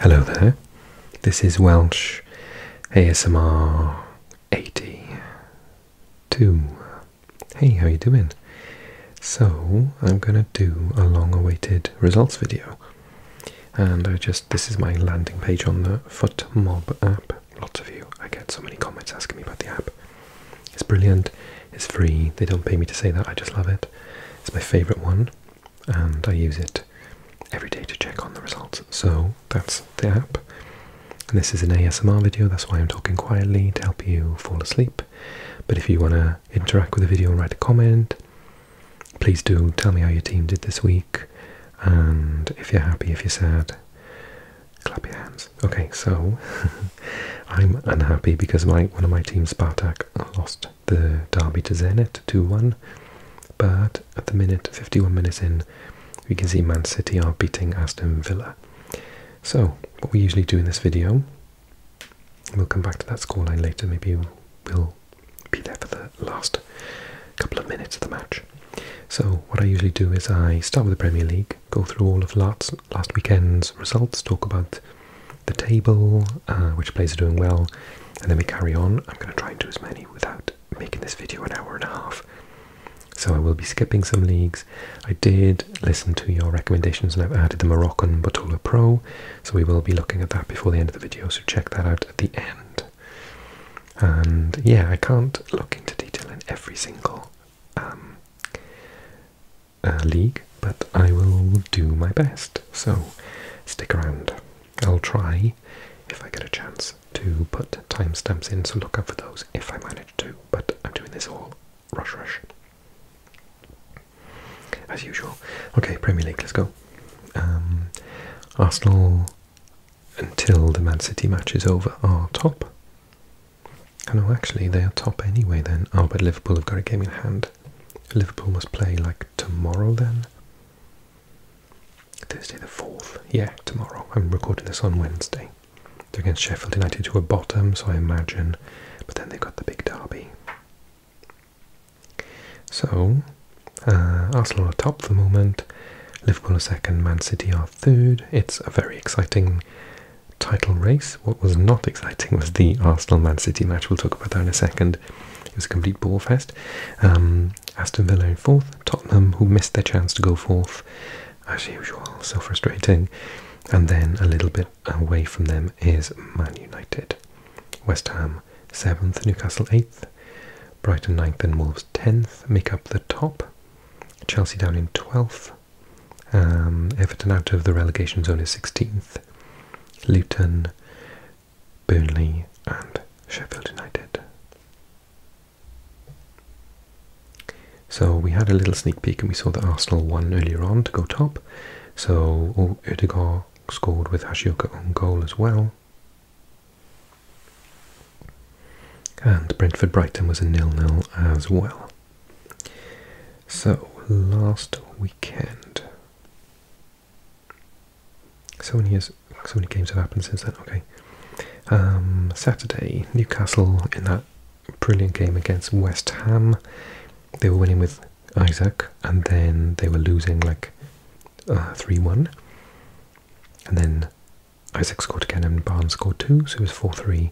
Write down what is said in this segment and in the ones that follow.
Hello there, this is Welsh ASMR 82. Hey, how you doing? So, I'm gonna do a long-awaited results video. And I just, this is my landing page on the FootMob app. Lots of you, I get so many comments asking me about the app. It's brilliant, it's free, they don't pay me to say that, I just love it. It's my favourite one and I use it every day to check on the results. So that's the app. And this is an ASMR video, that's why I'm talking quietly to help you fall asleep. But if you want to interact with the video and write a comment, please do tell me how your team did this week. And if you're happy, if you're sad, clap your hands. Okay, so I'm unhappy because my one of my teams, Spartak, lost the derby to Zenit 2-1. But at the minute, 51 minutes in, we can see Man City are beating Aston Villa. So, what we usually do in this video, we'll come back to that scoreline later, maybe we'll be there for the last couple of minutes of the match. So, what I usually do is I start with the Premier League, go through all of last, weekend's results, talk about the table, uh, which players are doing well, and then we carry on. I'm going to try and do as many without making this video an hour and a half. So I will be skipping some leagues. I did listen to your recommendations and I've added the Moroccan Botola Pro, so we will be looking at that before the end of the video, so check that out at the end. And yeah, I can't look into detail in every single um, uh, league, but I will do my best, so stick around. I'll try, if I get a chance, to put timestamps in, so look out for those if I manage to, but I'm doing this all rush rush. As usual. Okay, Premier League, let's go. Um, Arsenal, until the Man City match is over, are top. Oh, no, actually, they are top anyway then. Oh, but Liverpool have got a game in hand. Liverpool must play, like, tomorrow then? Thursday the 4th, yeah, tomorrow. I'm recording this on Wednesday. They're against Sheffield United, to a bottom, so I imagine. But then they've got the big derby. So, uh, Arsenal are top at the moment. Liverpool are second, Man City are third. It's a very exciting title race. What was not exciting was the Arsenal Man City match. We'll talk about that in a second. It was a complete ball fest. Um, Aston Villa in fourth. Tottenham, who missed their chance to go fourth, as usual, so frustrating. And then a little bit away from them is Man United. West Ham seventh, Newcastle eighth, Brighton ninth, and Wolves tenth make up the top. Chelsea down in twelfth. Um, Everton out of the relegation zone is sixteenth. Luton Burnley and Sheffield United. So we had a little sneak peek and we saw that Arsenal won earlier on to go top. So Udegaard scored with Hashioka on goal as well. And Brentford Brighton was a nil-nil as well. So last weekend so many years, so many games have happened since then. Okay, um, Saturday, Newcastle in that brilliant game against West Ham, they were winning with Isaac, and then they were losing like uh, three one, and then Isaac scored again, and Barnes scored two, so it was four three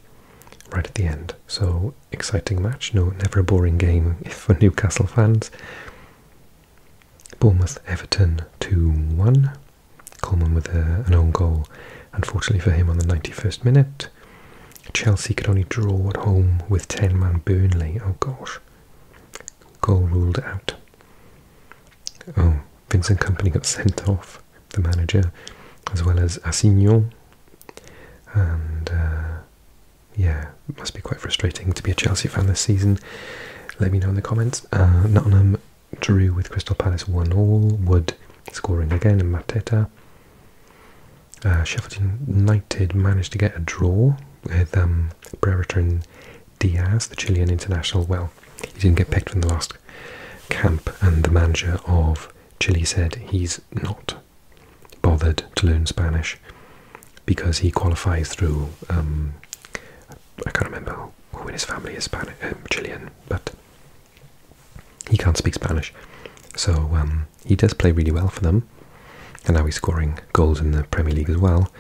right at the end. So exciting match, no, never a boring game for Newcastle fans. Bournemouth Everton 2 1. Coleman with uh, an own goal, unfortunately for him, on the 91st minute. Chelsea could only draw at home with 10 man Burnley. Oh gosh. Goal ruled out. Oh, Vince and Company got sent off, the manager, as well as Assignon. And uh, yeah, must be quite frustrating to be a Chelsea fan this season. Let me know in the comments. Uh, Nottingham drew with Crystal Palace 1 all. Wood scoring again and Mateta. Uh, Sheffield United managed to get a draw with um, Brereton Diaz, the Chilean international. Well, he didn't get picked from the last camp, and the manager of Chile said he's not bothered to learn Spanish because he qualifies through. Um, I can't remember who in his family is Spanish, um, Chilean, but he can't speak Spanish. So um, he does play really well for them, and now he's scoring goals in the Premier League as well.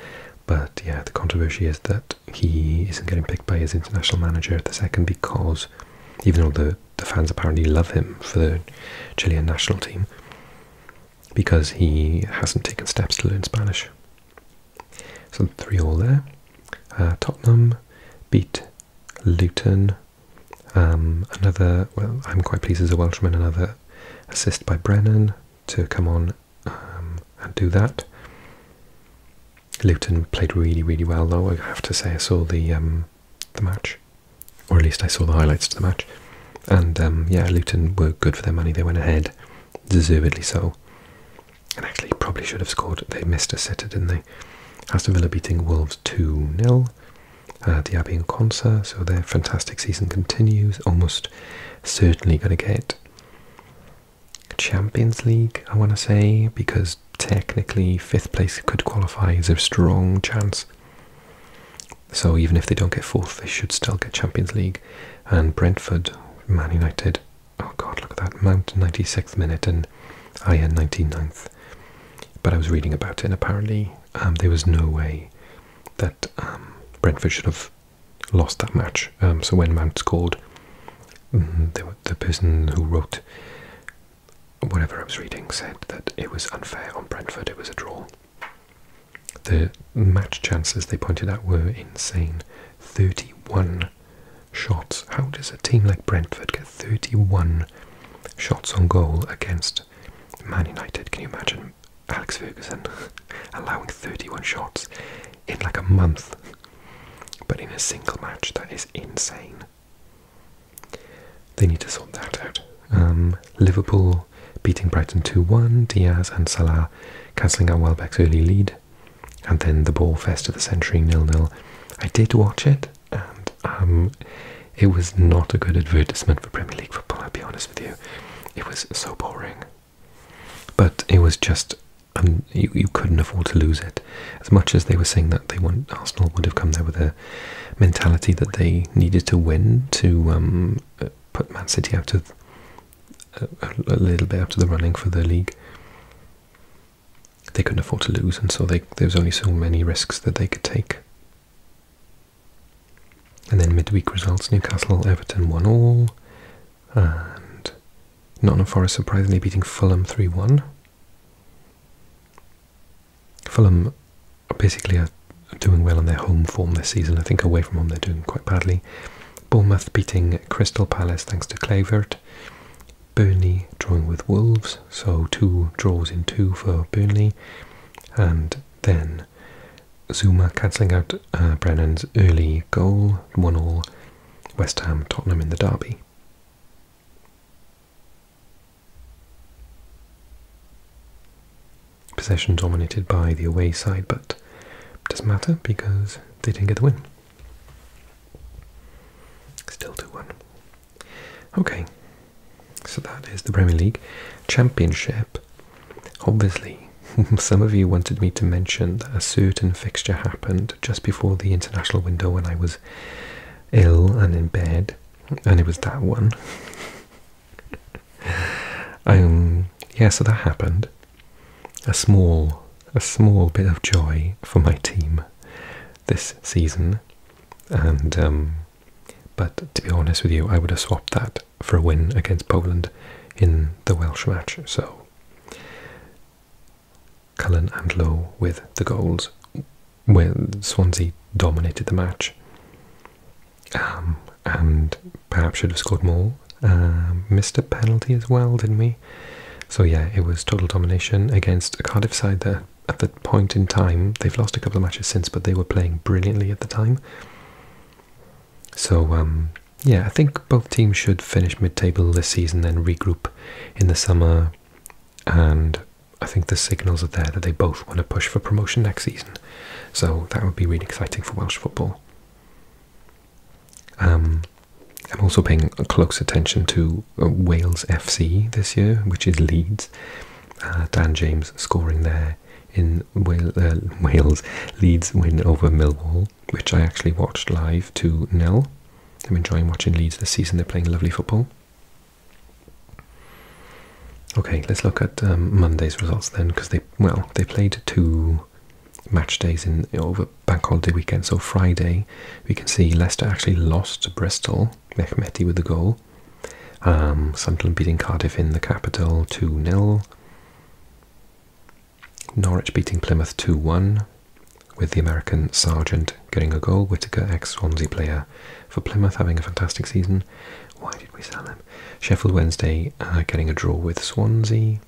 But yeah, the controversy is that he isn't getting picked by his international manager at the second because, even though the, the fans apparently love him for the Chilean national team, because he hasn't taken steps to learn Spanish. So 3 all there. Uh, Tottenham beat Luton. Um, another, well, I'm quite pleased as a Welshman, another assist by Brennan to come on um, and do that. Luton played really, really well, though. I have to say, I saw the um, the match, or at least I saw the highlights to the match. And yeah, Luton were good for their money. They went ahead deservedly so. And actually, probably should have scored. They missed a sitter, didn't they? Aston Villa beating Wolves 2 0. Uh, Diaby and Conser, so their fantastic season continues. Almost certainly going to get Champions League, I want to say, because technically fifth place could qualify is a strong chance. So even if they don't get fourth, they should still get Champions League and Brentford, Man United. Oh God, look at that! Mount 96th minute and Ian 99th. But I was reading about it, and apparently um, there was no way that um, Brentford should have lost that match. Um, so when Mount scored, mm, the person who wrote whatever I was reading said that it was unfair on Brentford. It was a draw. The match chances they pointed out were insane 31 shots. How does a team like Brentford get 31 shots on goal against Man United? Can you imagine Alex Ferguson allowing 31 shots in like a month? But in a single match, that is insane. They need to sort that out. Um, Liverpool beating Brighton 2 1, Diaz and Salah cancelling out Welbeck's early lead. And then the ball fest of the century, nil-nil. I did watch it, and um, it was not a good advertisement for Premier League football. I'll be honest with you, it was so boring. But it was just, um, you, couldn't afford to lose it. As much as they were saying that they want Arsenal would have come there with a mentality that they needed to win to um, put Man City out of a, little bit out of the running for the league. They couldn't afford to lose, and so there was only so many risks that they could take. And then midweek results: Newcastle, Everton, one all, and Nottingham Forest surprisingly beating Fulham three-one. Fulham basically are uh, doing well on their home form this season. I think away from home they're doing quite badly. Bournemouth beating Crystal Palace thanks to Clavert. Burnley drawing with Wolves, so two draws in two for Burnley. And then Zuma cancelling out uh, Brennan's early goal, 1 all. West Ham Tottenham in the derby. Possession dominated by the away side, but doesn't matter because they didn't get the win. Still 2 1. Okay, so that is the Premier League Championship. Obviously, some of you wanted me to mention that a certain fixture happened just before the international window when I was ill and in bed, and it was that one. um, yeah, so that happened a small, a small bit of joy for my team this season. And um, but to be honest with you, I would have swapped that for a win against Poland in the Welsh match. So Cullen and Lowe with the goals, where Swansea dominated the match. Um, and perhaps should have scored more. Um, missed a penalty as well, didn't we? So yeah, it was total domination against Cardiff side that at the point in time they've lost a couple of matches since, but they were playing brilliantly at the time. So um, yeah, I think both teams should finish mid-table this season, then regroup in the summer, and I think the signals are there that they both want to push for promotion next season. So that would be really exciting for Welsh football. Um, I'm also paying close attention to uh, Wales FC this year, which is Leeds. Uh, Dan James scoring there in uh, Wales, Leeds win over Millwall, which I actually watched live to nil. I'm enjoying watching Leeds this season. They're playing lovely football. Okay, let's look at um, Monday's results then, because they well they played two match days in over bank holiday weekend. So Friday, we can see Leicester actually lost to Bristol. Mehmeti with the goal. Um, Sunderland beating Cardiff in the capital 2 0. Norwich beating Plymouth 2 1, with the American sergeant getting a goal. Whitaker, ex Swansea player for Plymouth, having a fantastic season. Why did we sell him? Sheffield Wednesday uh, getting a draw with Swansea.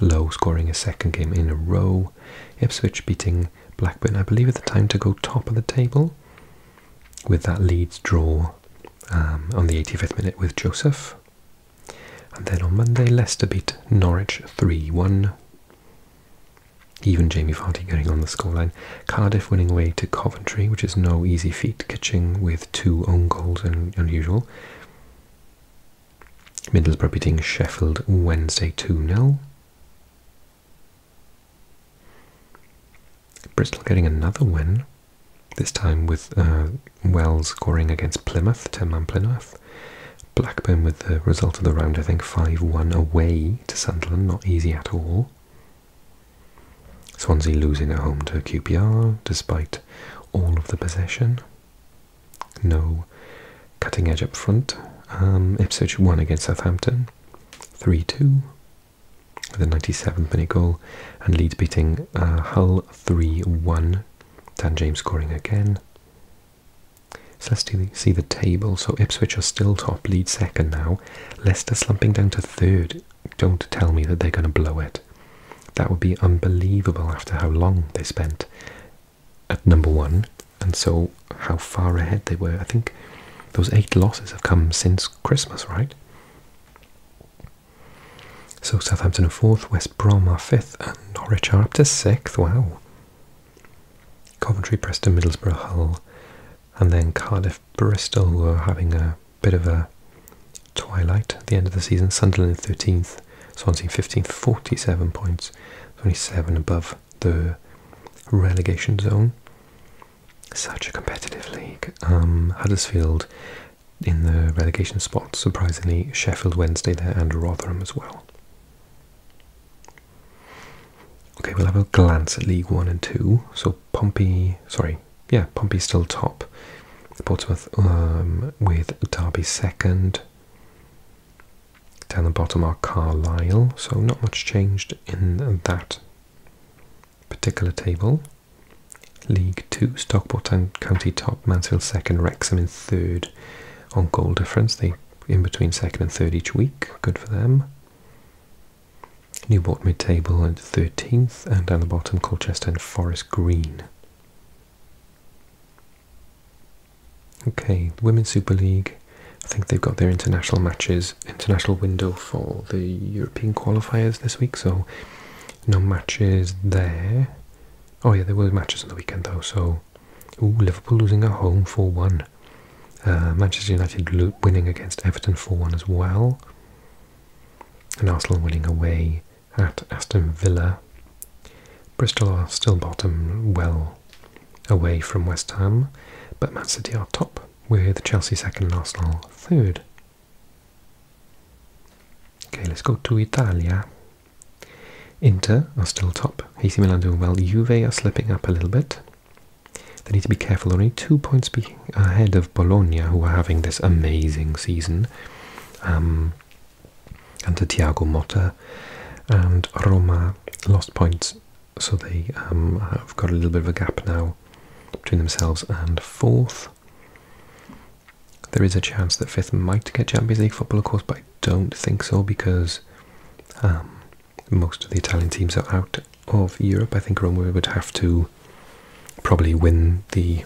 Low scoring a second game in a row. Ipswich beating Blackburn, I believe, at the time to go top of the table with that Leeds draw um, on the 85th minute with Joseph. And then on Monday, Leicester beat Norwich 3 1. Even Jamie Vardy getting on the scoreline. Cardiff winning away to Coventry, which is no easy feat, catching with two own goals and unusual. Middlesbrough beating Sheffield Wednesday 2-0. Bristol getting another win, this time with uh, Wells scoring against Plymouth, 10-man Plymouth. Blackburn with the result of the round, I think, 5-1 away to Sunderland, not easy at all. Swansea losing at home to QPR, despite all of the possession. No cutting edge up front. Um, Ipswich won against Southampton 3 2 with a ninety-seven minute goal, and Leeds beating uh, Hull 3 1. Dan James scoring again. So let's see the table. So Ipswich are still top, Leeds second now. Leicester slumping down to third. Don't tell me that they're going to blow it. That would be unbelievable after how long they spent at number one and so how far ahead they were. I think those eight losses have come since Christmas, right? So Southampton are fourth, West Brom are fifth, and Norwich are up to sixth. Wow. Coventry, Preston, Middlesbrough, Hull, and then Cardiff, Bristol were having a bit of a twilight at the end of the season. Sunderland in 13th, 15th. Swansea 15th, 47 points, 27 above the relegation zone. Such a competitive league. Um, Huddersfield in the relegation spot, surprisingly, Sheffield Wednesday there and Rotherham as well. Okay, we'll have a glance at League One and Two. So Pompey, sorry, yeah, Pompey's still top. Portsmouth um, with Derby second, down the bottom are Carlisle, so not much changed in that particular table. League 2, Stockport and County top, Mansfield second, Wrexham in third on goal difference. They in between second and third each week, good for them. Newport mid-table at 13th, and down the bottom Colchester and Forest Green. Okay, the Women's Super League. I think they've got their international matches, international window for the European qualifiers this week, so no matches there. Oh yeah, there were matches on the weekend though. So, Liverpool losing at home four one. Uh, Manchester United winning against Everton 4 1 as well. And Arsenal winning away at Aston Villa. Bristol are still bottom, well away from West Ham, but Man City are top, with Chelsea second and Arsenal third. Okay, let's go to Italia. Inter are still top. AC Milan doing well. Juve are slipping up a little bit. They need to be careful. Only two points ahead of Bologna, who are having this amazing season. Um, and to Tiago Mota and Roma lost points so they um, have got a little bit of a gap now between themselves and fourth. There is a chance that fifth might get Champions League football, of course, but I don't think so because um, most of the Italian teams are out of Europe. I think Roma would have to probably win the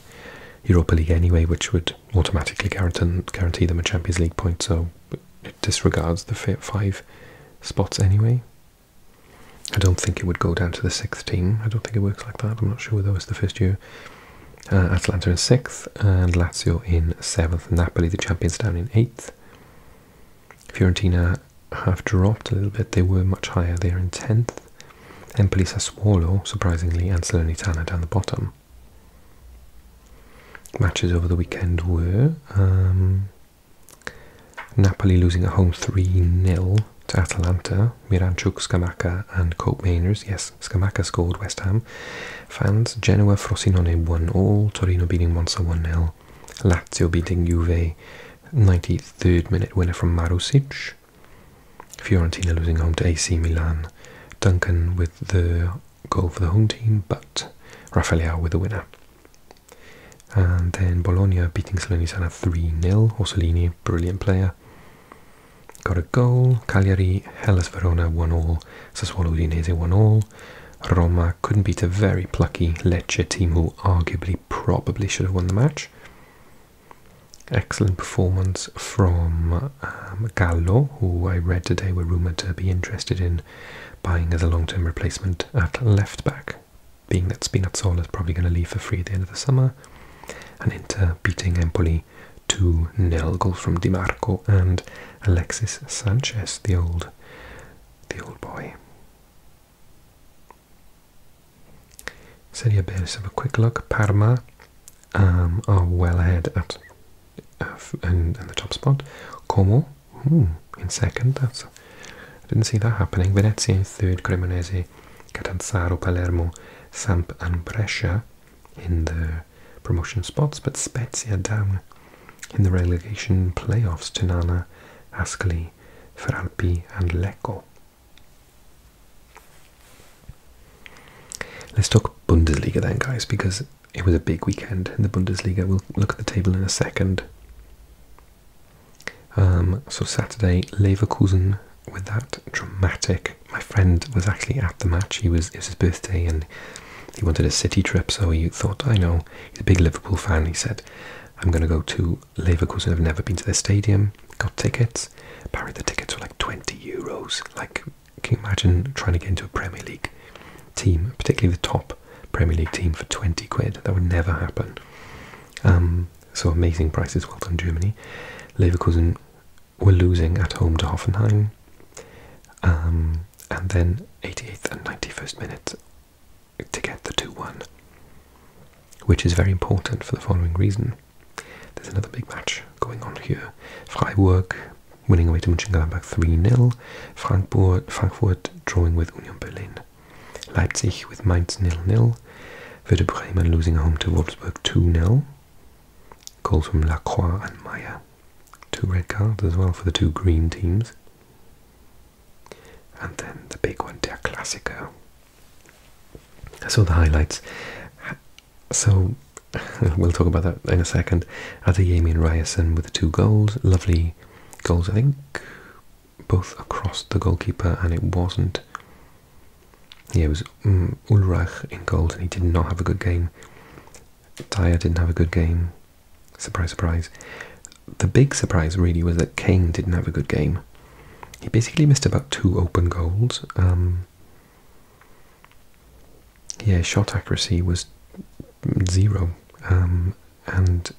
Europa League anyway, which would automatically guarantee them a Champions League point, so it disregards the five spots anyway. I don't think it would go down to the sixth team. I don't think it works like that. I'm not sure whether it's the first year. Uh, Atalanta in sixth, and Lazio in seventh. Napoli, the champions, down in eighth. Fiorentina have dropped a little bit. They were much higher. They're in tenth. Empoli, Sassuolo, surprisingly, and Salernitana down the bottom. Matches over the weekend were um, Napoli losing at home 3-0 to Atalanta, Miranchuk, Scamacca and Cope Mainers. Yes, Scamacca scored, West Ham fans. Genoa, Frosinone won all Torino beating Monza 1-0, Lazio beating Juve, 93rd minute winner from Marusic. Fiorentina losing home to AC Milan. Duncan with the goal for the home team, but Rafaela with the winner. And then Bologna beating Salernitana 3 0. Orsolini, brilliant player, got a goal. Cagliari, Hellas Verona 1 0. Sassuolo Udinese 1 0. Roma couldn't beat a very plucky Lecce team who arguably probably should have won the match. Excellent performance from um, Gallo, who I read today were rumoured to be interested in buying as a long term replacement at left back, being that Spinazzola is probably going to leave for free at the end of the summer. And Inter beating Empoli 2 nil goals from Di Marco and Alexis Sanchez, the old, the old boy. Serie B, let's have a quick look. Parma are um, oh, well ahead at uh, in, the top spot. Como hmm, in second. That's I didn't see that happening. Venezia in third. Cremonese, Catanzaro, Palermo, Samp, and Brescia in the promotion spots, but Spezia down in the relegation playoffs to Nana, Ascoli, Feralpi, and Lecco. Let's talk Bundesliga then, guys, because it was a big weekend in the Bundesliga. We'll look at the table in a second. Um, so Saturday, Leverkusen with that dramatic. My friend was actually at the match. He was it was his birthday and he wanted a city trip, so he thought, I know, he's a big Liverpool fan. He said, I'm going to go to Leverkusen. I've never been to their stadium. Got tickets. Apparently the tickets were like 20 euros, like can you imagine trying to get into a Premier League team, particularly the top Premier League team, for 20 quid? That would never happen. Um, so amazing prices, well done, Germany. Leverkusen were losing at home to Hoffenheim. Um, and then 88th and 91st minute to get the 2 1, which is very important for the following reason. There's another big match going on here. Freiburg winning away to Mönchengladbach 3-0. Frankfurt, drawing with Union Berlin. Leipzig with Mainz 0-0. Werder Bremen losing home to Wolfsburg 2-0. Calls from Lacroix and Meyer. Two red cards as well for the two green teams. And then the big one, Der Klassiker. I saw the highlights. So we'll talk about that in a second. Adeyemi and Ryerson with the two goals. Lovely goals, I think. Both across the goalkeeper, and it wasn't. Yeah, it was mm, Ulrich in goals, and he did not have a good game. Dyer didn't have a good game. Surprise, surprise. The big surprise really was that Kane didn't have a good game. He basically missed about two open goals. Um, yeah, shot accuracy was zero. Um, and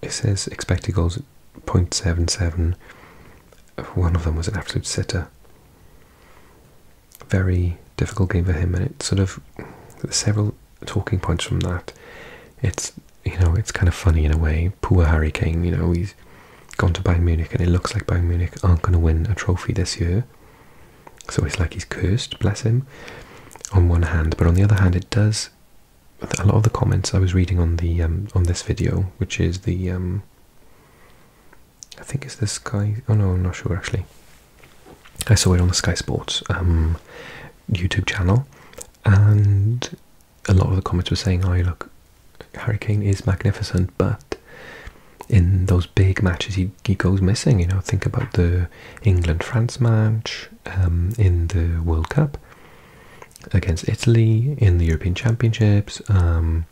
it says expected goals at 0.77. One of them was an absolute sitter. Very difficult game for him, and it sort of several talking points from that. It's you know it's kind of funny in a way. Poor Harry Kane, you know he's gone to Bayern Munich, and it looks like Bayern Munich aren't going to win a trophy this year. So it's like he's cursed, bless him, on one hand. But on the other hand, it does. A lot of the comments I was reading on the um, on this video, which is the um, I think it's this guy. Oh no, I'm not sure actually. I saw it on the Sky Sports um, YouTube channel, and a lot of the comments were saying, "Oh, look, Hurricane is magnificent, but in those big matches, he he goes missing. You know, think about the England France match um, in the World Cup against Italy in the European Championships. Um,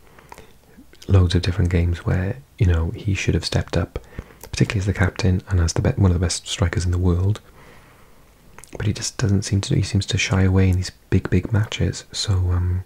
loads of different games where you know he should have stepped up, particularly as the captain and as the one of the best strikers in the world. But he just doesn't seem to. He seems to shy away in these big, big matches. So um,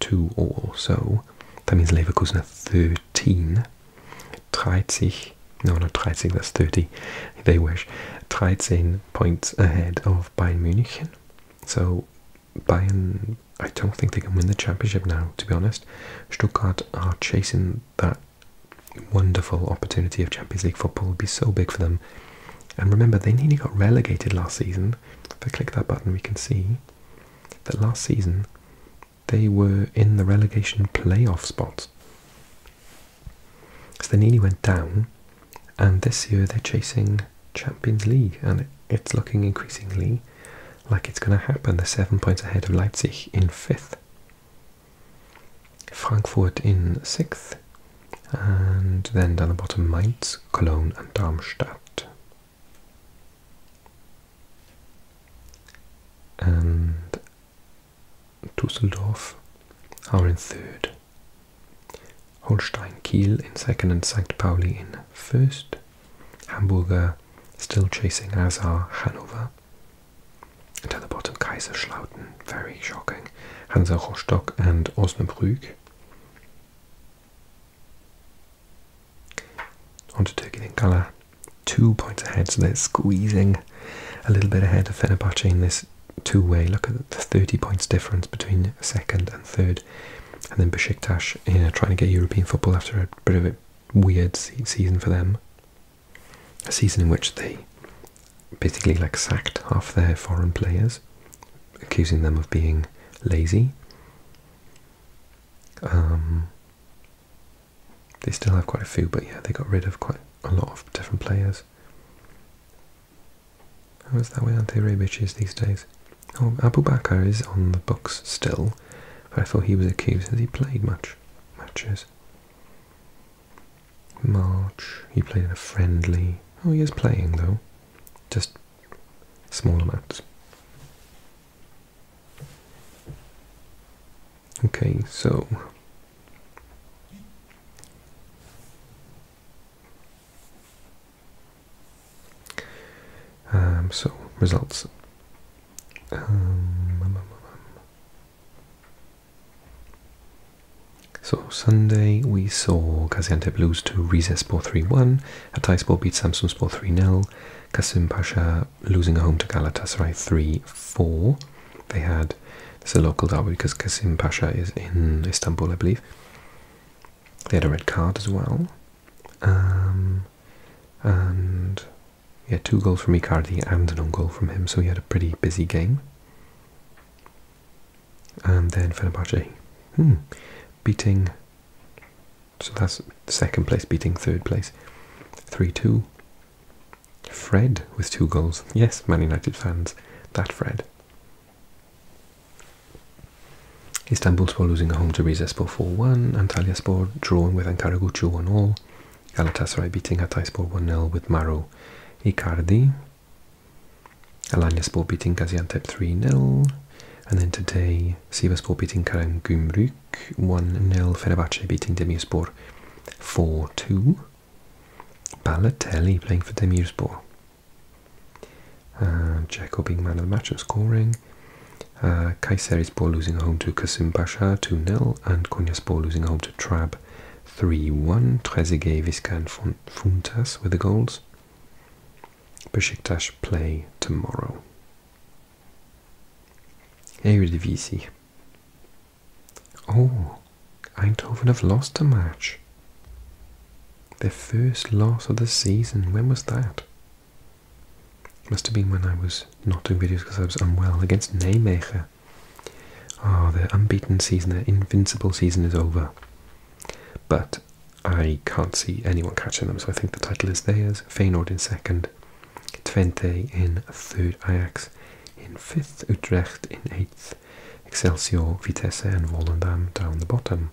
two all. So that means Leverkusen 13. 30, no, not 30, that's 30. They were 13 points ahead of Bayern Munich. So Bayern, I don't think they can win the championship now, to be honest. Stuttgart are chasing that wonderful opportunity of Champions League football. Will be so big for them. And remember, they nearly got relegated last season. If I click that button, we can see that last season they were in the relegation playoff spot, So they nearly went down, and this year they're chasing Champions League, and it's looking increasingly like it's going to happen. They're seven points ahead of Leipzig in fifth, Frankfurt in sixth, and then down the bottom Mainz, Cologne, and Darmstadt and Dusseldorf are in third. Holstein Kiel in second and St. Pauli in first. Hamburger uh, still chasing, as are Hanover. And at the bottom, Kaiserslautern, very shocking. Hansa Rostock and Osnabrück. Undertaking in colour, two points ahead, so they're squeezing a little bit ahead of Fenerbahce in this two-way. Look at the 30 points difference between second and third. And then Besiktas, you trying to get European football after a bit of a weird season for them. A season in which they basically like sacked half their foreign players, accusing them of being lazy. Um, they still have quite a few, but yeah, they got rid of quite a lot of different players. How is that way, with anti-rabiches these days? Oh, Abu is on the books still, but I thought he was accused. Has he played much matches? March, he played in a friendly. Oh, he is playing though, just small amounts. Okay, so um, so results. Um, so Sunday we saw Gaziantep lose to Rize Sport 3-1, Hatayspor beat Samsun Sport 3-0, Kasim Pasha Losing a home to Galatasaray 3-4. They had, this a local derby because Kasim Pasha is in Istanbul, I believe. They had a red card as well. Um, and and had two goals from Icardi and an own goal from him, so he had a pretty busy game. And then Fenerbahce, hmm, beating so that's second place beating third place. 3 2. Fred with two goals. Yes, Man United fans, that Fred. Istanbulspor losing at home to Rizespor 4-1, Antalyaspor drawing with Ankara Gucu 1-all, Galatasaray beating Hatayspor 1-0 with Maro Icardi, Alanyaspor beating Gaziantep 3-0, and then today Sivasspor beating Gümruk. 1 0, Fenerbahce beating Demirspor 4 2. Balotelli playing for Demirspor. Uh, Jacko being man of the match and scoring. Uh, Kayserispor losing home to Kasim Pasha 2 0, and Konyaspor losing home to Trab 3 1. Trezeguet, Vizca, and Funtas with the goals. Besiktas play tomorrow the Eredivisie. Oh, Eindhoven have lost a match. Their first loss of the season. When was that? Must have been when I was not doing videos because I was unwell against Nijmegen. Oh, ah, their unbeaten season, their invincible season is over. But I can't see anyone catching them, so I think the title is theirs. Feyenoord in second, Twente in third, Ajax in fifth, Utrecht in eighth, Excelsior, Vitesse and Volendam down the bottom.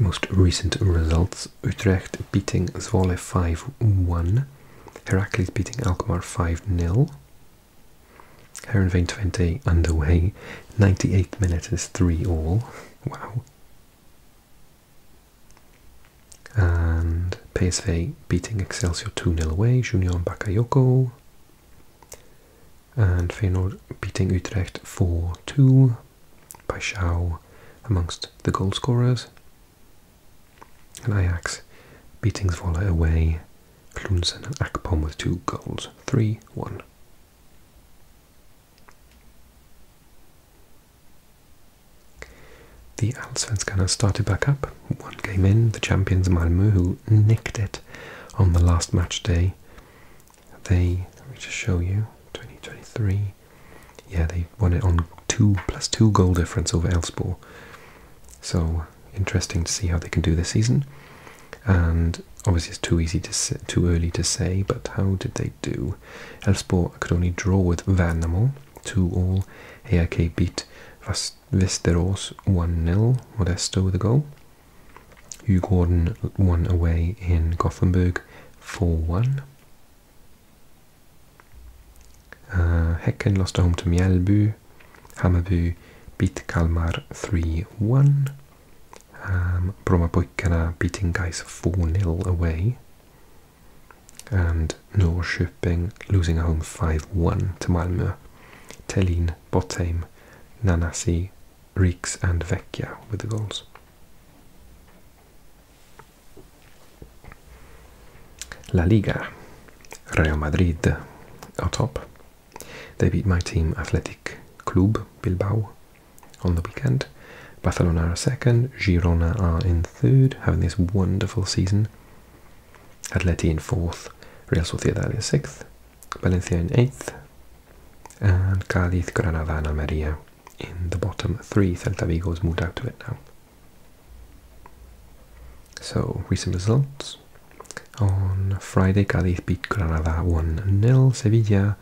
Most recent results, Utrecht beating Zwolle 5-1, Heracles beating Alkmaar 5-0, Herenveen 20 underway, Ninety eight minutes is 3 all, wow. And PSV beating Excelsior 2 nil away, Junior Bakayoko. And Feyenoord beating Utrecht 4-2 by Schau amongst the goal scorers. And Ajax beating Zwolle away, Klunsen and Akpom with two goals, 3-1. The Allsvenskan started back up, one game in, the champions Malmö, who nicked it on the last match day. They, let me just show you, 2023, yeah, they won it on two plus two goal difference over Elfsborg. So interesting to see how they can do this season. And obviously, it's too easy to too early to say, but how did they they do. Elfsborg could only draw with Värnamo, 2-all. AIK beat Västerås 1-0, Modesto with a goal. Hugh Gordon won away in Gothenburg 4-1. Uh, Häcken lost at home to Mjällby. Hammarby beat Kalmar 3-1. Um, Brommapojkarna beating guys 4-0 away. and Norrköping losing home 5-1 to Malmö. Telin, Bottheim, Nanasi, Reeks and Vecchia with the goals. La Liga, Real Madrid are top. They beat my team Athletic Club Bilbao on the weekend, Barcelona are second, Girona are in third, having this wonderful season. Atlético in fourth, Real Sociedad in sixth, Valencia in eighth, and Cádiz, Granada, and Almeria in the bottom three. Celta Vigo has moved up to it now. So, recent results. On Friday, Cádiz beat Granada 1 0. Sevilla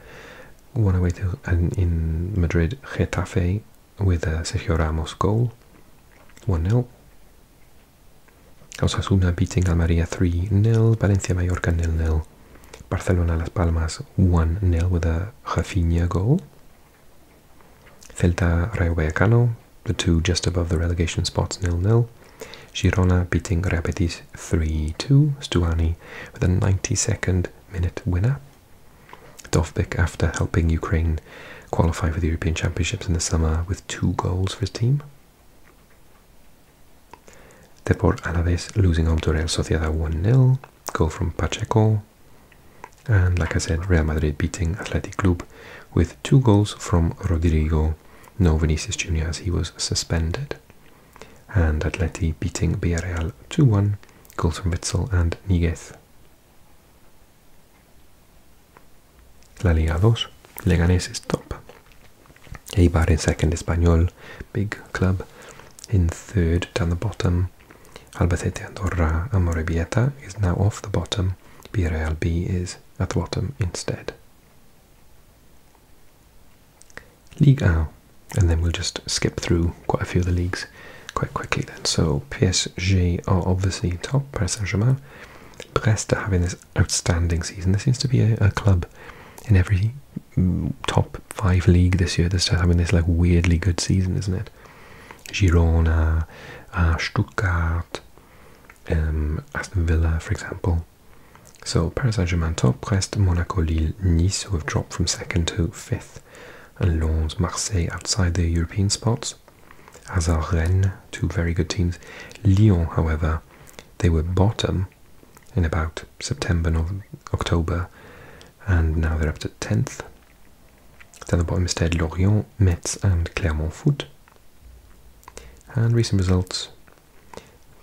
one away to, in Madrid, Getafe with a uh, Sergio goal, 1-0. Osasuna beating Almeria 3-0, Valencia Mallorca 0-0, Barcelona Las Palmas 1-0 with a Rafinha goal. Celta Rayo Vallecano, the two just above the relegation spots 0-0. Girona beating Real 3-2, Stuani with a 92nd minute winner. Dovbik, after helping Ukraine qualify for the European Championships in the summer with two goals for his team. Deport Alaves losing home to Real Sociedad 1-0, goal from Pacheco. And like I said, Real Madrid beating Athletic Club with two goals from Rodrigo, no Vinicius Jr. as he was suspended. And Atleti beating Villarreal 2-1 goals Witzel and Níguez. La Liga 2, Leganés is top. Eibar in second, Espanyol, big club. In third, down the bottom, Albacete Andorra and Morebieta is now off the bottom. Villarreal B is at the bottom instead. Ligue and then we'll just skip through quite a few of the leagues quite quickly then. So PSG are obviously top, Paris Saint-Germain. Brest are having this outstanding season. There seems to be a, a club in every mm, top five league this year that's just having this like weirdly good season, isn't it? Girona, uh, Stuttgart, um, Aston Villa, for example. So Paris Saint-Germain top, Brest, Monaco, Lille, Nice, who have dropped from second to fifth and Lons, Marseille outside the European spots, as two very good teams. Lyon, however, they were bottom in about September, November, October, and now they're up to 10th. Then the bottom is instead Lorient, Metz, and Clermont Foot. And recent results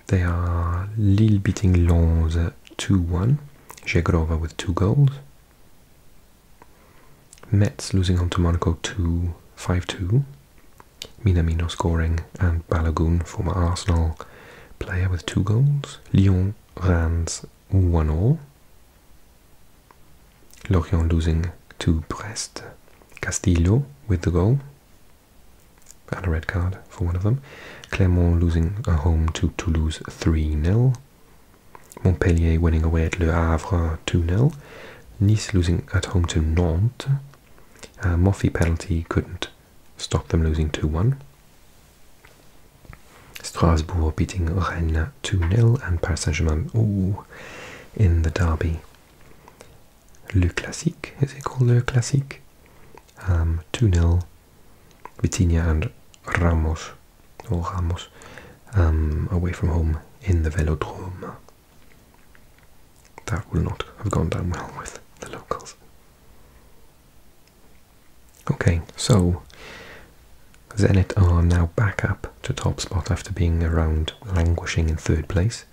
they are Lille beating Lons 2 1, Zegrova with two goals, Metz losing home to Monaco 2 5 2. Minamino scoring and Balogun, former Arsenal player, with two goals. Lyon runs 1 0. Lorient losing to Brest. Castillo with the goal and a red card for one of them. Clermont losing a home to Toulouse 3 0. Montpellier winning away at Le Havre 2-0. Nice losing at home to Nantes. Uh, Moffy penalty couldn't stop them losing 2-1. Strasbourg beating Rennes 2-0 and Paris Saint-Germain ooh, in the derby. Le Classique, is it called Le Classique? 2-0 um, Vitinha and Ramos, or Ramos, um, away from home in the Velodrome. That will not have gone down well with the locals. Okay, so Zenit are now back up to top spot after being around languishing in third place.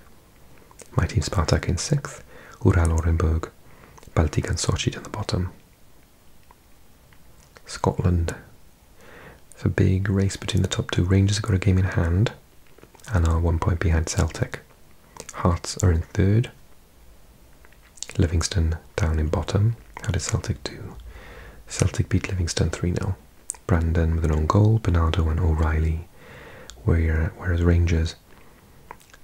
My team Spartak in sixth, Ural Orenburg, Baltic and Sochi at the bottom, Scotland. It's a big race between the top two. Rangers have got a game in hand and are one point behind Celtic. Hearts are in third. Livingston down in bottom. How did Celtic do? Celtic beat Livingston 3 0. Brandon with an own goal, Bernardo and O'Reilly. Whereas Rangers,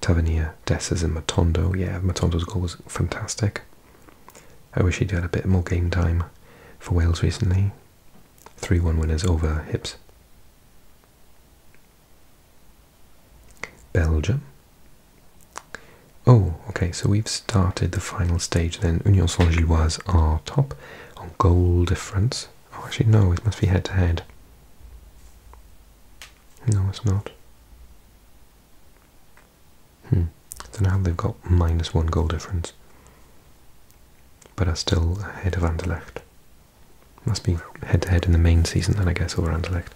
Tavernier, Dessers, and Matondo. Yeah, Matondo's goal was fantastic. I wish he'd had a bit more game time for Wales recently. 3-1 winners over Hips. Belgium. Oh, okay, so we've started the final stage then. Union Saint-Gilloise are top on goal difference. Oh, actually, no, it must be head to -head. No, it's not. So hmm. now they've got minus one goal difference. But are still ahead of Anderlecht. Must be head to head in the main season then I guess over Anderlecht.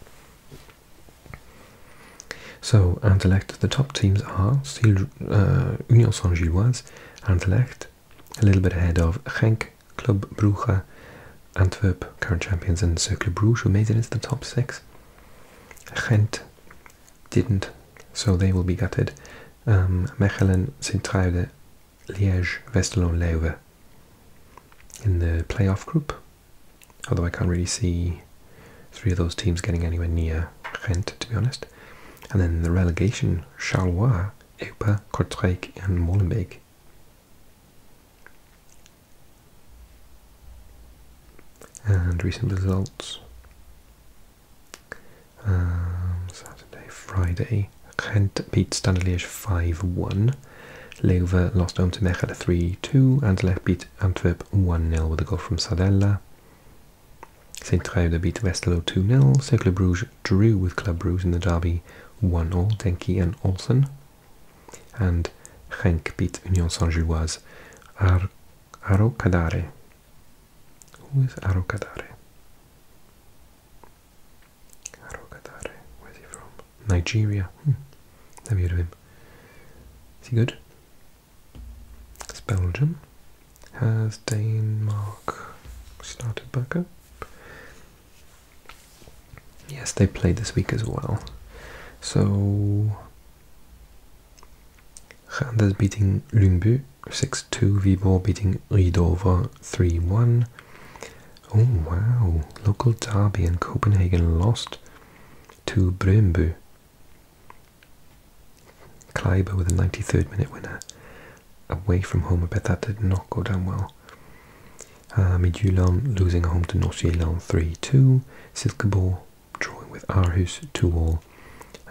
So Anderlecht, the top teams are still uh, Union Saint-Gilloise, Anderlecht, a little bit ahead of Genk, Club Brugge, Antwerp, current champions, and Circle Bruges, who made it into the top six. Gent, didn't, so they will be gutted. Um, Mechelen, Sint-Truiden, Liège, Westerlo, Leuven in the playoff group. Although I can't really see three of those teams getting anywhere near Ghent, to be honest. And then the relegation, Charleroi, Eupen, Kortrijk and Molenbeek and recent results. Um, Saturday, Friday, Gent beat Standard 5 1. Leuven lost home to Mechelen 3 2. Anderlecht beat Antwerp 1 0 with a goal from Sadella. St. Truiden beat Westerlo 2 0. Cercle Bruges drew with Club Bruges in the derby 1 all. Denki and Olsen. And Genk beat Union Saint Gilloise. Arocadare. Who is Arocadare? Arocadare. Where's he from? Nigeria. Have hmm. you heard of him. Is he good? It's Belgium. Has Denmark started back up? Yes, they played this week as well. So Randers beating Lungbu 6-2, Viborg beating Ridover 3-1. Oh wow, local derby in Copenhagen lost to Brøndby. Kleiber with a 93rd minute winner away from home. I bet that did not go down well. Uh, Midtjylland losing home to North 3-2. Silkeborg drawing with Arhus 2-all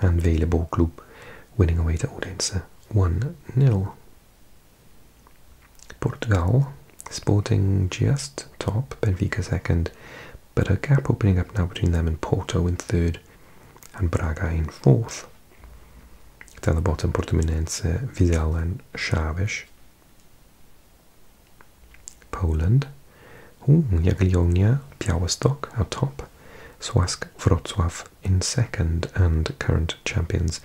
and Vele Borklub winning away to Odense 1-0. Portugal, Sporting just top, Benfica second, but a gap opening up now between them and Porto in third and Braga in fourth. Down the bottom, Portimonense, Vizela and Chaves. Poland. Ooh, Jagiellonia, Białystok atop, Swask Wrocław in second, and current champions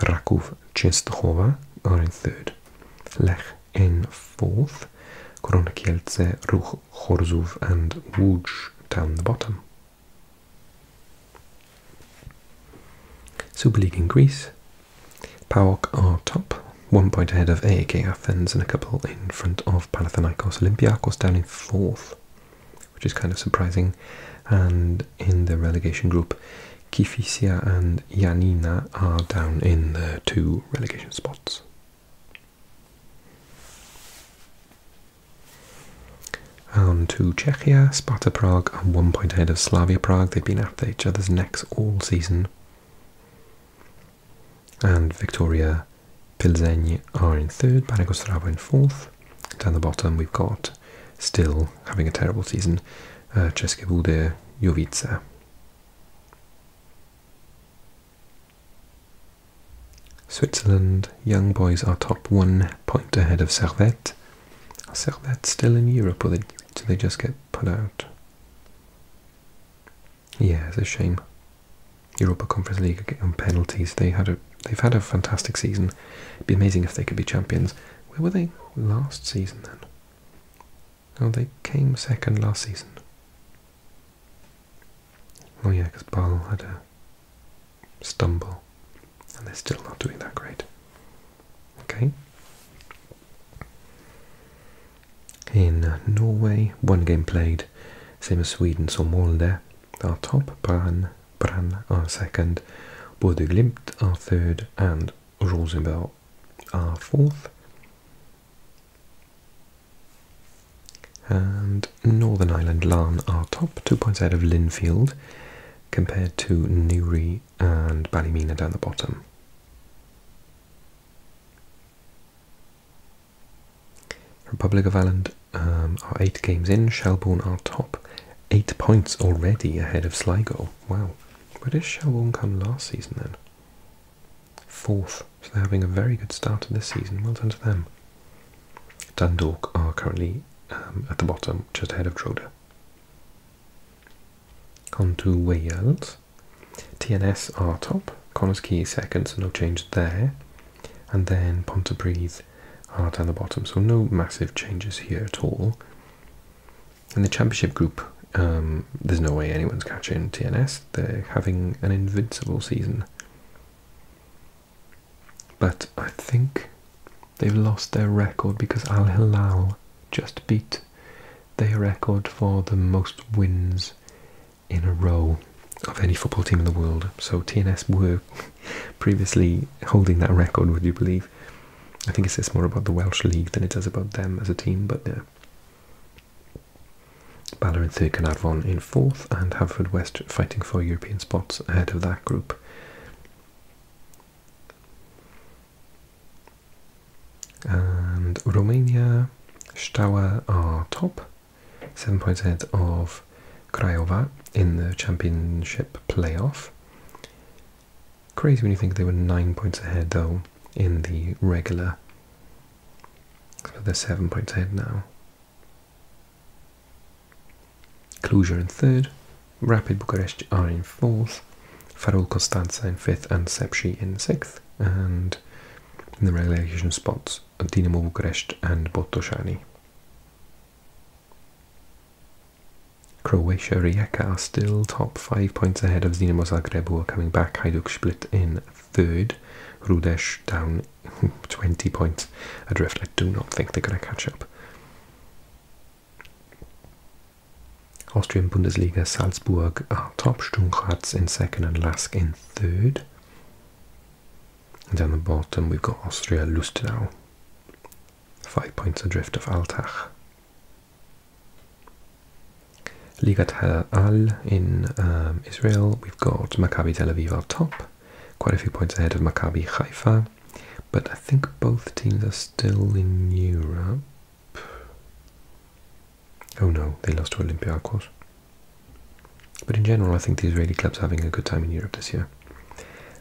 Raków Częstochowa are in third, Lech in fourth, Korona Ruch Chorzów, and Łódź down the bottom. Super League in Greece, PAOK are top, one point ahead of AEK Athens and a couple in front of Panathinaikos. Olympiacos down in fourth, which is kind of surprising. And in the relegation group, Kifisia and Yanina are down in the two relegation spots. And to Czechia, Sparta Prague are one point ahead of Slavia Prague. They've been after each other's necks all season and Victoria Pilsen are in third, Panagostrava in fourth. Down the bottom we've got, still having a terrible season, uh, České Budějovice. Jovice. Switzerland, Young Boys are top one point ahead of Servette. Are Servette still in Europe or they, they just get put out? Yeah, it's a shame. Europa Conference League on penalties. They had a they've had a fantastic season. It'd be amazing if they could be champions. Where were they last season then? Oh, they came second last season. Oh yeah, because Ball had a stumble, and they're still not doing that great. Okay. In Norway, one game played, same as Sweden, so Molde are top, Brann, Brann are second, Boddeglimt Glimt are third, and Rosenborg are fourth. And Northern Ireland Larn are top, two points out of Linfield, compared to Newry and Ballymena down the bottom. Republic of Ireland um, are eight games in. Shelbourne are top, eight points already ahead of Sligo. Wow, where did Shelbourne come last season then? Fourth, so they're having a very good start to this season. Well done to them. Dundalk are currently um, at the bottom, just ahead of Droda. On to Wales. TNS are top, Connors Key is second, no change there. And then Pontypridd are at the bottom, so no massive changes here at all. In the championship group, um, there's no way anyone's catching TNS. They're having an invincible season. But I think they've lost their record because Al Hilal just beat their record for the most wins in a row of any football team in the world. So TNS were previously holding that record, would you believe? I think it says more about the Welsh League than it does about them as a team, but yeah. Bala in third, in fourth, and Haverfordwest fighting for European spots ahead of that group. And Romania, Stawa are top, Seven points ahead of Craiova in the championship playoff. Crazy when you think they were nine points ahead though in the regular. So they're seven points ahead now. Cluj in third, Rapid Bucharest are in fourth, Farul Costanza in fifth, and Sepsi in sixth. And in the relegation spots, Dinamo Bucharest and Botoshani. Croatia Rijeka are still top five points ahead of Dinamo Zagreb who are coming back. Hajduk Split in third. Rudesh down 20 points adrift. I do not think they're going to catch up. Austrian Bundesliga Salzburg are top. Sturm Graz in second and Lask in third. And down the bottom, we've got Austria Lustenau, five points adrift of Altach. Ligat Al in um, Israel, we've got Maccabi Tel Aviv on top, quite a few points ahead of Maccabi Haifa, but I think both teams are still in Europe. Oh no, they lost to Olympiacos. But in general, I think the Israeli club's are having a good time in Europe this year.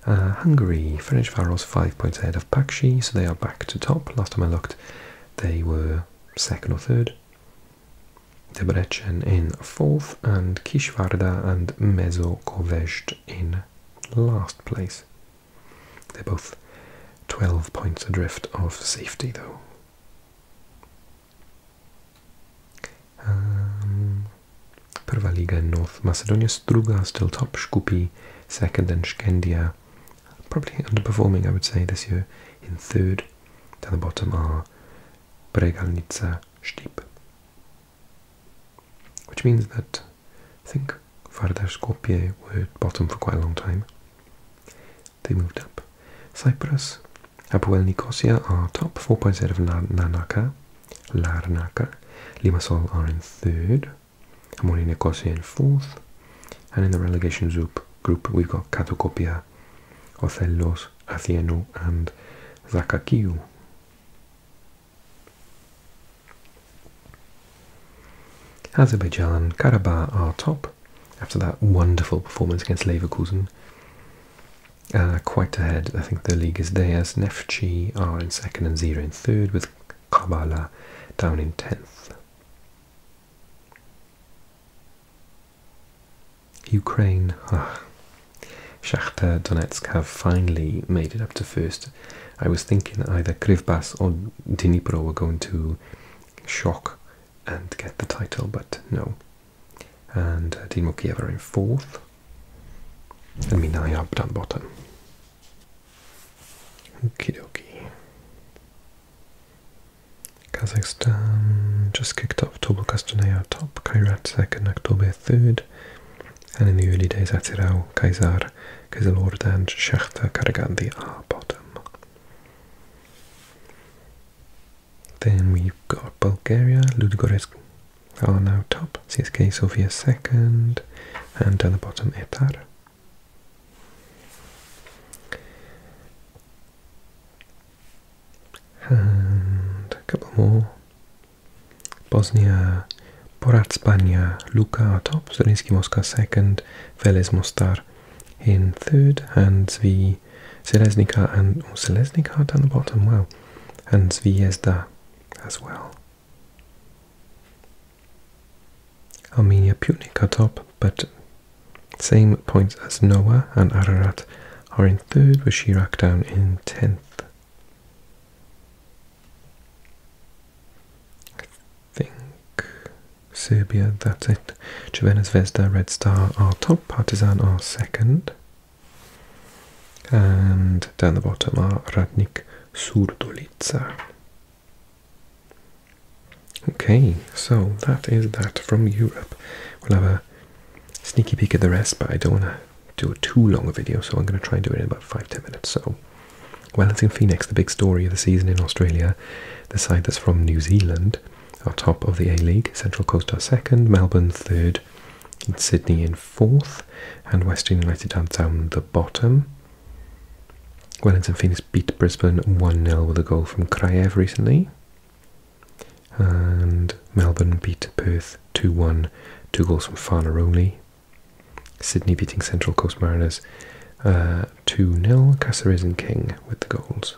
Uh, Hungary, Ferencvaros five points ahead of Pakshi, so they are back to top. Last time I looked, they were second or third. Debrecen in fourth, and Kishvarda and Mezokovest in last place. They're both 12 points adrift of safety, though. Um, Prva in North Macedonia, Struga still top, Shkupi second, and Shkendia probably underperforming, I would say, this year in third. Down the bottom are Bregalnica Stip, which means that I think Vardar Skopje were bottom for quite a long time they moved up. Cyprus, Apoel Nicosia are top, four points ahead of Larnaca. Larnaca. Limassol are in third, Amoni Nicosia in fourth, and in the relegation group, group we've got Katokopia, Othellos, Athiano, and Zakakiu. Azerbaijan Karabakh are top, after that wonderful performance against Leverkusen. Uh, quite ahead, I think the league is theirs. Neftchi are in second and Zira in third, with Kabbalah down in tenth. Ukraine. Shakhtar Donetsk have finally made it up to first. I was thinking either Krivbas or Dnipro were going to shock and get the title, but no. and Dinamo uh, Kiev are in fourth, and Minai up down bottom. Okie dokie. Kazakhstan just kicked off. Tobol top, Kairat second, 3 third, and in the early days Atirau, Kaisar, Kizilord and Shakhtar Karagandi are bottom. Then we've got Bulgaria, Ludogorets are now top, CSK Sofia second, and at the bottom Etar. And a couple more. Bosnia, Poratspania, Luka are top, Zrinski Mosca second, Velez Mostar in third, and Zvi the and oh, down the bottom, well, and Zvezda as well. Armenia Punic top, but same points as Noah and Ararat are in third, with Shirak down in tenth. I think Serbia, that's it. Jovena Zvezda, Red Star are top, Partizan are second and down the bottom are Radnik Surdulica. Okay, so that is that from Europe. We'll have a sneaky peek at the rest, but I don't want to do a too long video, so I'm going to try and do it in about five ten minutes. So, well, it's in Phoenix, the big story of the season in Australia, the side that's from New Zealand, are top of the A League. Central Coast are second, Melbourne third, Sydney in fourth, and Western United are down the bottom. Wellington Phoenix beat Brisbane 1 0 with a goal from Kraev recently. And Melbourne beat Perth 2 1, two goals from Farneroli. Sydney beating Central Coast Mariners uh, 2 uh, 0, Caceres and King with the goals.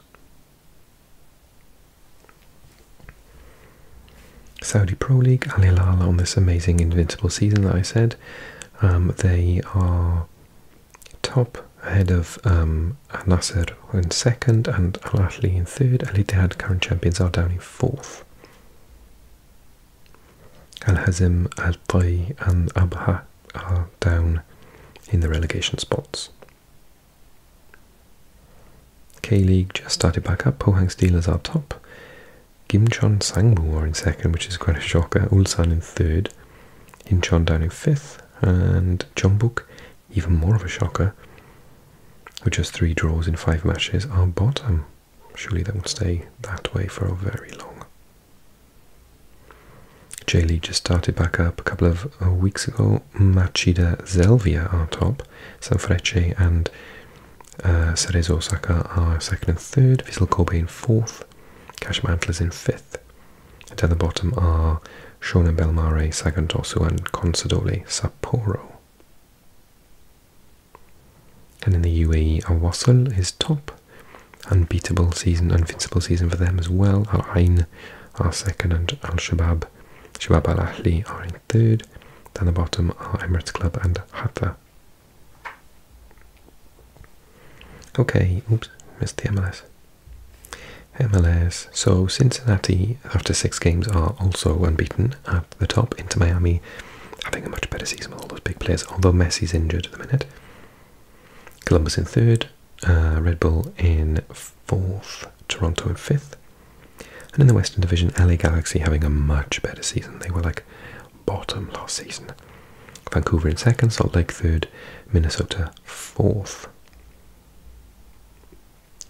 Saudi Pro League, Al Hilal on this amazing invincible season that I said. Um, they are top ahead of um, Al Nasser in second and Al Ahli in third. Al Ittihad current champions are down in fourth. Al Hazim, Al Tay, and Abha are down in the relegation spots. K League just started back up. Po Hang Steelers are top. Gimcheon Sangmu are in second, which is quite a shocker. Ulsan in third. Incheon down in fifth. And Jeonbuk, even more of a shocker, with just three draws in five matches, are bottom. Surely that will stay that way for a very long. J League just started back up. A couple of of weeks ago, Machida Zelvia are top. Sanfrecce and uh, Cerezo Osaka are second and third. Vissel Kobe in fourth. Kashima Antlers in fifth. And down the bottom are Shonan Belmare, Sagantosu and Consadole Sapporo. And in the UAE, Awassal is top. Unbeatable season, invincible season for them as well. Al Ain are second and Al Shabab Shuaib Al Ahli are in third. Down the bottom are Emirates Club and Hatta. Okay, oops, missed the MLS. MLS. So Cincinnati, after six games, are also unbeaten at the top. Into Miami, having a much better season with all those big players, although Messi's injured at the minute. Columbus in third, uh, Red Bull in fourth, Toronto and fifth. And in the Western Division, LA Galaxy having a much better season. They were like bottom last season. Vancouver in second, Salt Lake third, Minnesota fourth.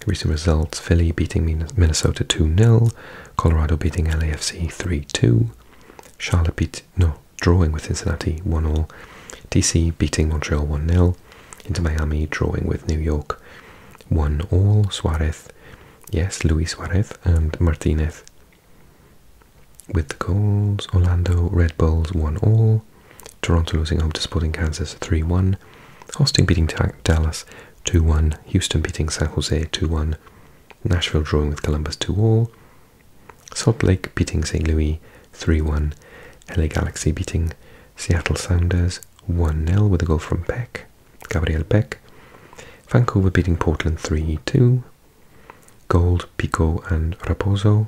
Recent results Philly beating Minnesota 2 0, Colorado beating LAFC 3 2, Charlotte beat, no, drawing with Cincinnati 1 0, DC beating Montreal 1 0, into Miami, drawing with New York. won all Suarez, yes, Luis Suarez and Martinez. With the goals, Orlando Red Bulls won all, Toronto losing home to Sporting Kansas 3 1, Austin beating Dallas 2 1, Houston beating San Jose 2 1, Nashville drawing with Columbus 2 all, Salt Lake beating St. Louis 3 1, LA Galaxy beating Seattle Sounders 1 0 with a goal from Peck, Gabriel Peck. Vancouver beating Portland 3 2. Gold, Pico, and Raposo.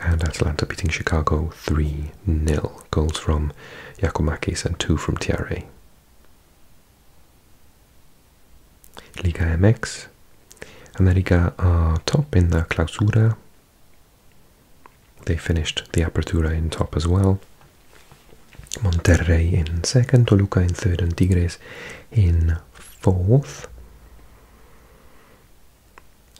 And Atlanta beating Chicago 3 0. Goals from Yakomakis and two from Tiare. Liga MX. America are top in the Clausura they finished the Apertura in top as well. Monterrey in second, Toluca in third, and Tigres in fourth.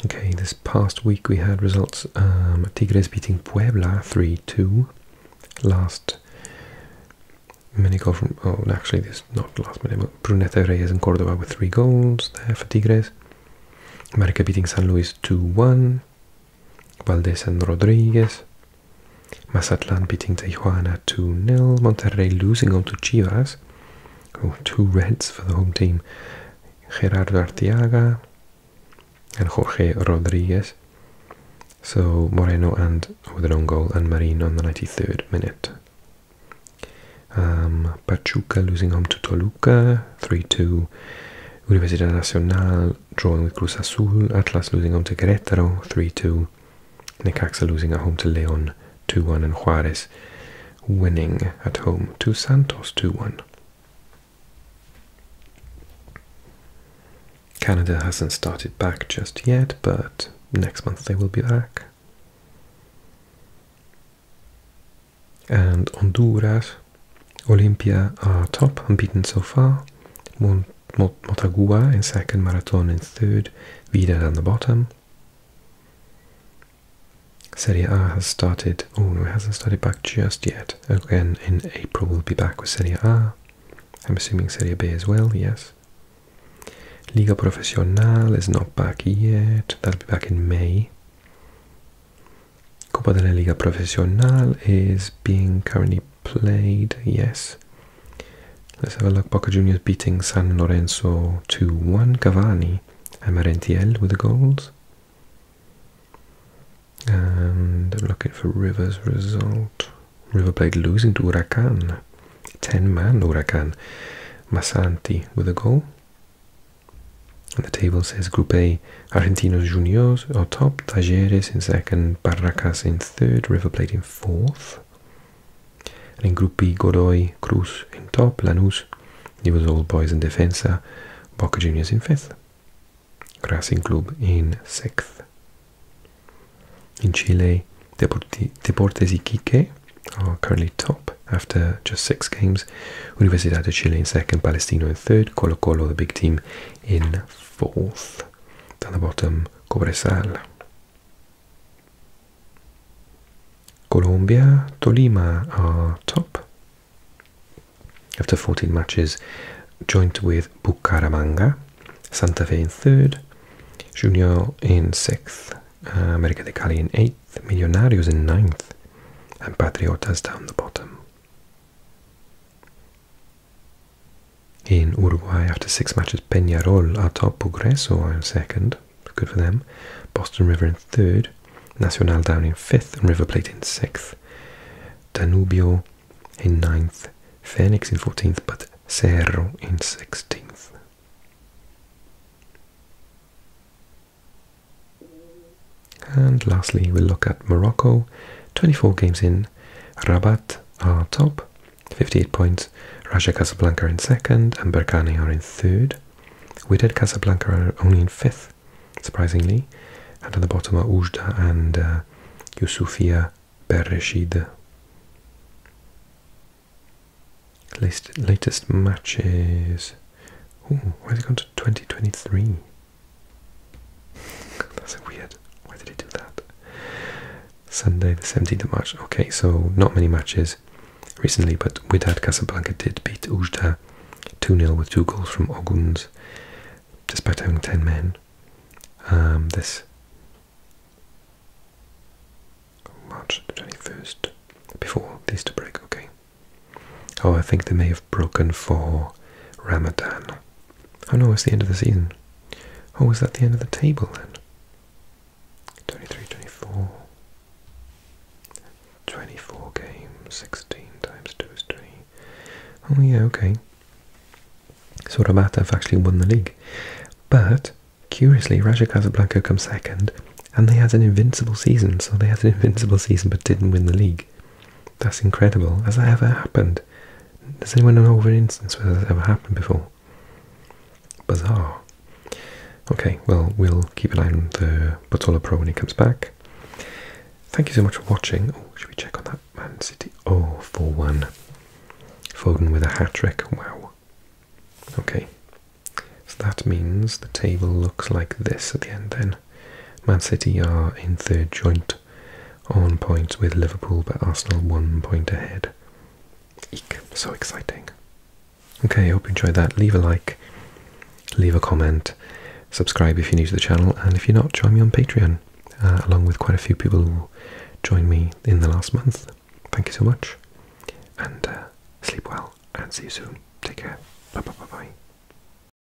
Okay, this past week we had results um, Tigres beating Puebla 3 2. Last mini goal from. Oh, actually, this not last minute. Brunete Reyes in Cordoba with three goals there for Tigres. Marquez beating San Luis 2-1. Valdez and Rodriguez. Mazatlan beating Tijuana 2-0. Monterrey losing on to Chivas. Oh, two reds for the home team. Gerardo Arteaga and Jorge Rodriguez. So Moreno and with an own goal and Marin on the 93rd minute. Um, Pachuca losing home to Toluca. 3-2. Universidad Nacional drawing with Cruz Azul, Atlas losing home to Querétaro, 3-2. Necaxa losing at home to León, 2-1, and Juárez winning at home to Santos, 2-1. Canada hasn't started back just yet, but next month they will be back and Honduras, Olimpia are top, unbeaten so far. Mont Motagua in second, Marathon in third, Vida on the bottom. Serie A has started, oh it hasn't started back just yet. Again, in April we'll be back with Serie A. I'm assuming Serie B as well, yes. Liga Profesional is not back yet. That'll be back in May. Copa de la Liga Profesional is being currently played, yes. Let's have a look. Boca Juniors beating San Lorenzo 2-1. Cavani and Merentiel with the goals. And I'm looking for River's result. River played losing to Huracan. 10-man Huracan. Masanti with the goal. And the table says Group A, Argentinos Juniors are top, Talleres in second, Barracas in third, River Plate in fourth. And in Group B, Godoy, Cruz in top, Lanús, it was All Boys in Defensa, Boca Juniors in fifth, Racing Club in sixth. In Chile, Deportes Iquique are currently top after just six games, Universidad de Chile in second, Palestino in third, Colo Colo, the big team, in fourth. Down the bottom, Cobresal. Colombia, Tolima are top after 14 matches, joint with Bucaramanga, Santa Fe in third, Junior in sixth, America de Cali in eighth, Millonarios in ninth, and Patriotas down the bottom. In Uruguay, after six matches, Peñarol are top, Progreso are in second, good for them, Boston River in third, Nacional down in fifth, and River Plate in sixth, Danubio in ninth, Phoenix in fourteenth, but Cerro in sixteenth. And lastly, we'll look at Morocco. 24 games in, Rabat are top, 58 points. Raja Casablanca in second, and Berkane are in third. We did Casablanca only in fifth, surprisingly. And at the bottom are Ujda and uh, Yusufia Bereshid. Latest, matches. Ooh, why has it gone to 2023? That's weird. Why did he do that? Sunday the 17th of March. Okay, so not many matches recently, but Wydad Casablanca did beat Ujda 2-0 with two goals from Oguns, despite having 10 men. Um, this March 21st, before the Easter break, okay. Oh, I think they may have broken for Ramadan. Oh no, it's the end of the season. Oh, is that the end of the table then? 23, 24. 24 games, 16 times 2 is 20. Oh yeah, okay. So Rabat have actually won the league. But, curiously, Raja Casablanca come second, and they had an invincible season, so they had an invincible season but didn't win the league. That's incredible. Has that ever happened? Does anyone know of an instance where that's ever happened before? Bizarre. Okay, well, we'll keep an eye on the Botola Pro when he comes back. Thank you so much for watching. Oh, should we check on that? Man City. Oh, 4 1. Foden with a hat trick. Wow. Okay. So that means the table looks like this at the end then. Man City are in third joint on points with Liverpool, but Arsenal one point ahead. so exciting. Okay, hope you enjoyed that. Leave a like, leave a comment, subscribe if you're new to the channel, and if you're not, join me on Patreon, uh, along with quite a few people who joined me in the last month. Thank you so much, and uh, sleep well, and see you soon. Take care. Bye bye bye bye.